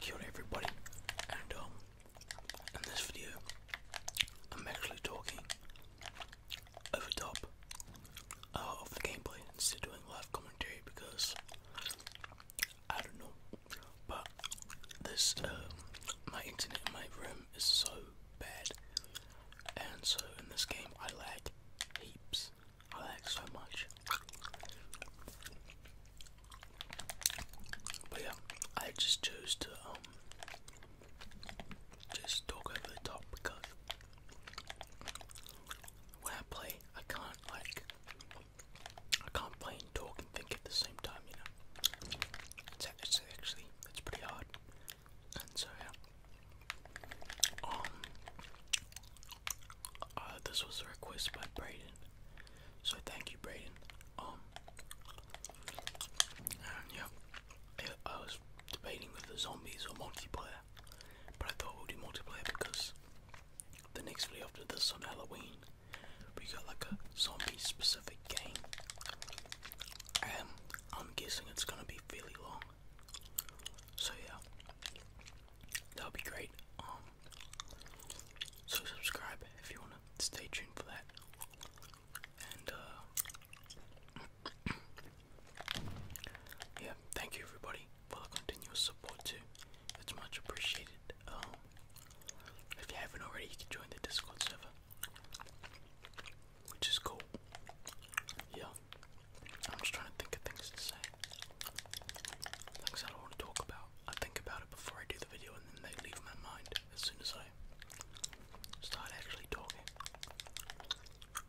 Kia everybody, and um, in this video, I'm actually talking over top uh, of the gameplay instead of doing live commentary because I don't know, but this um, my internet in my room is so bad, and so in this game I lag heaps. I like so much. But yeah, I just chose to um just talk over the top because when I play, I can't like I can't play and talk and think at the same time, you know. It's, it's actually it's pretty hard, and so yeah. Um, uh, this was a request by Brayden, so thank you, Brayden. Um, and yeah, I was debating with the zombies or multiplayer, but I thought we'll do multiplayer because the next video after this on Halloween, we got like a zombie-specific game, and I'm guessing it's gonna be fairly long. So yeah, that will be great. Um, so subscribe if you wanna stay tuned for that. And uh, yeah, thank you everybody for the continuous support too. It's much appreciated. Um, if you haven't already, you can join the Discord server, which is cool. Yeah. I'm just trying to think of things to say. Things I don't want to talk about. I think about it before I do the video and then they leave my mind as soon as I start actually talking.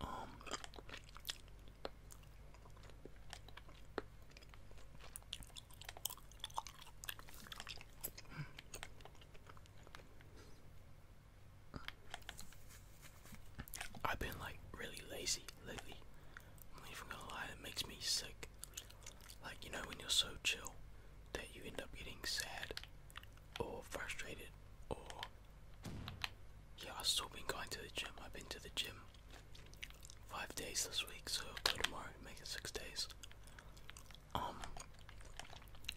Um, I've been like really lazy lately. I'm not even gonna lie, it makes me sick. Like, you know, when you're so chill that you end up getting sad or frustrated, or yeah, I've still been going to the gym. I've been to the gym five days this week, so I'll go tomorrow, make it six days. Um,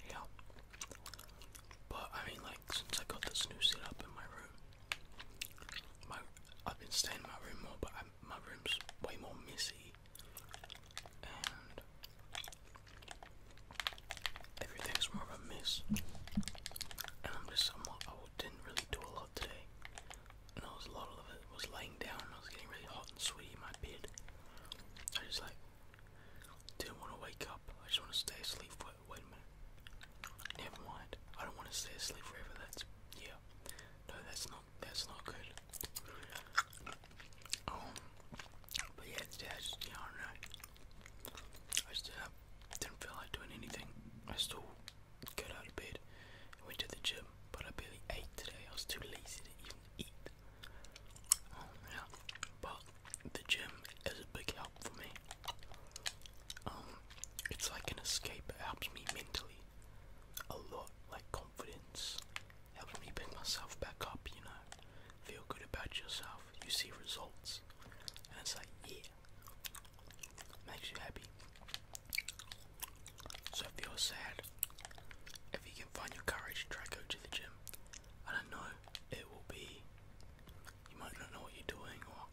yeah, but I mean, like since I got this new setup in my room. My I've been staying in my room more, but my room's way more messy, and everything's more of a mess. And I'm just I'm not, I didn't really do a lot today. And I was a lot of it was laying down. I was getting really hot and sweaty in my bed. I just like didn't want to wake up. I just want to stay asleep for wait a minute. Never mind. I don't want to stay asleep forever. That's yeah. No, that's not that's not good. Um, but yeah, today just yeah, I do I just didn't, feel like doing anything. I still got out of bed went to the gym, but I barely ate today. I was too lazy to even eat yeah, but the gym is a big help for me. Um, it's like an escape. It helps me mentally a lot, like confidence. Helps me pick myself back up. You know, feel good about yourself. You see results, and it's like yeah, makes you happy. So if you're sad if you can find your courage, try go to the gym. I don't know, it will be you might not know what you're doing or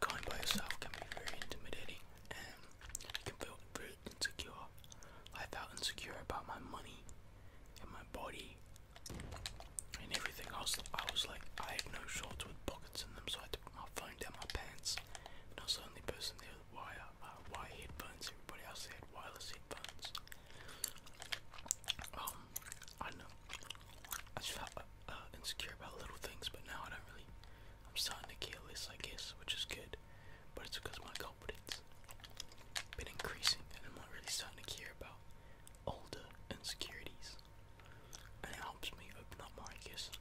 going by yourself can be very intimidating and you can feel very insecure. I felt insecure about my money and my body and everything else. I was like, I have no shorts with pockets in them, so I had to put my phone down my pants and I was the only person there with a wire about headphones, everybody else had wireless headphones. Um, I know. I just felt uh, uh, insecure about little things, but now I don't really. I'm starting to care less, I guess, which is good. But it's because my confidence been increasing, and I'm not really starting to care about older insecurities. And it helps me open up more, I guess,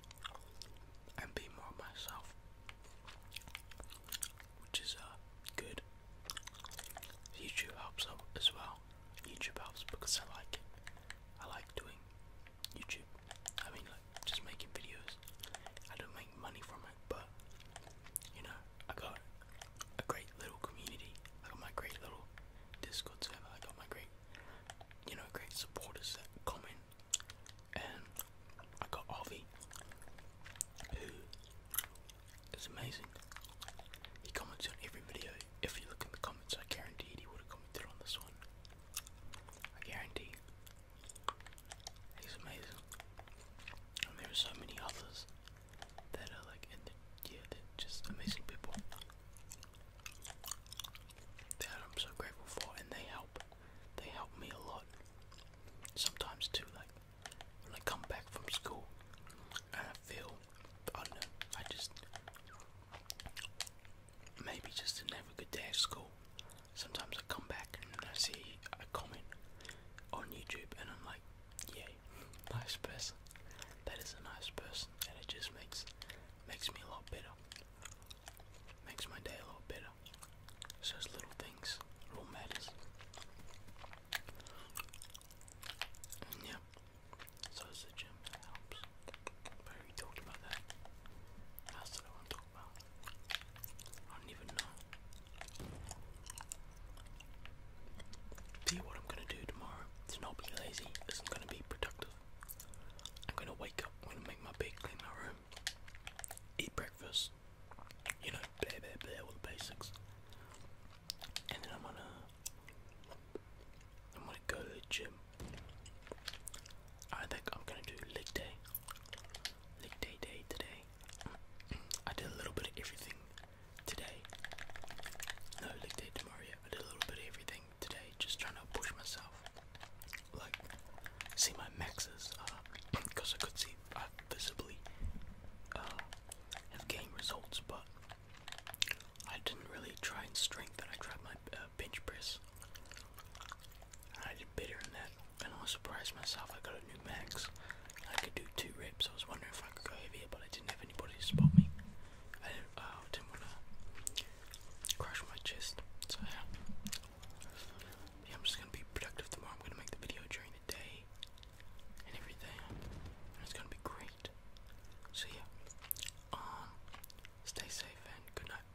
and be more myself which is uh, good. YouTube helps out as well. YouTube helps because I like it. I like doing YouTube. I mean, like just making videos. I don't make money from it, but you know, I got a great little community. I got my great little Discord server. I got my great, you know, great supporters that comment and I got Avi, who is amazing. He comments on every video. If you look in the comments, I guarantee he would have commented on this one. I guarantee. He's amazing. And there are so many others that are like, yeah, they're just amazing people that I'm so grateful for, and they help. They help me a lot. Sometimes too, like when I come back from school and I feel, I don't know, I just maybe just another good day at school. Sometimes I come back and I see a comment on YouTube, and I'm like, yay, nice person. That is a nice person, and it just makes Makes me a lot better. Makes my day a lot better. It's little things. It matters. yeah. So it's helps. we talked about that. What I want to talk about? I don't even know. See what I'm gonna do tomorrow to not be lazy isn't gonna be productive. I'm gonna wake up, I'm gonna make my bed, clean my room, eat breakfast, you know, blah blah blah, all the basics. And then I'm gonna, I'm gonna go to the gym. I think I'm gonna do leg day, leg day day today. I did a little bit of everything today. No leg day tomorrow I did a little bit of everything today, just trying to push myself. Like, see my maxes, because I could see I uh, visibly uh, have gained results, but I didn't really try and strengthen. I tried my uh, bench press. I did better in that, and I was surprised myself. I got a new max. I could do two so I was wondering if I could go over here, but I didn't have anybody to spot me. I didn't, uh, want to crush my chest, so yeah. I'm just gonna be productive tomorrow. I'm gonna make the video during the day and everything, it's gonna be great. So yeah, um, stay safe and good night.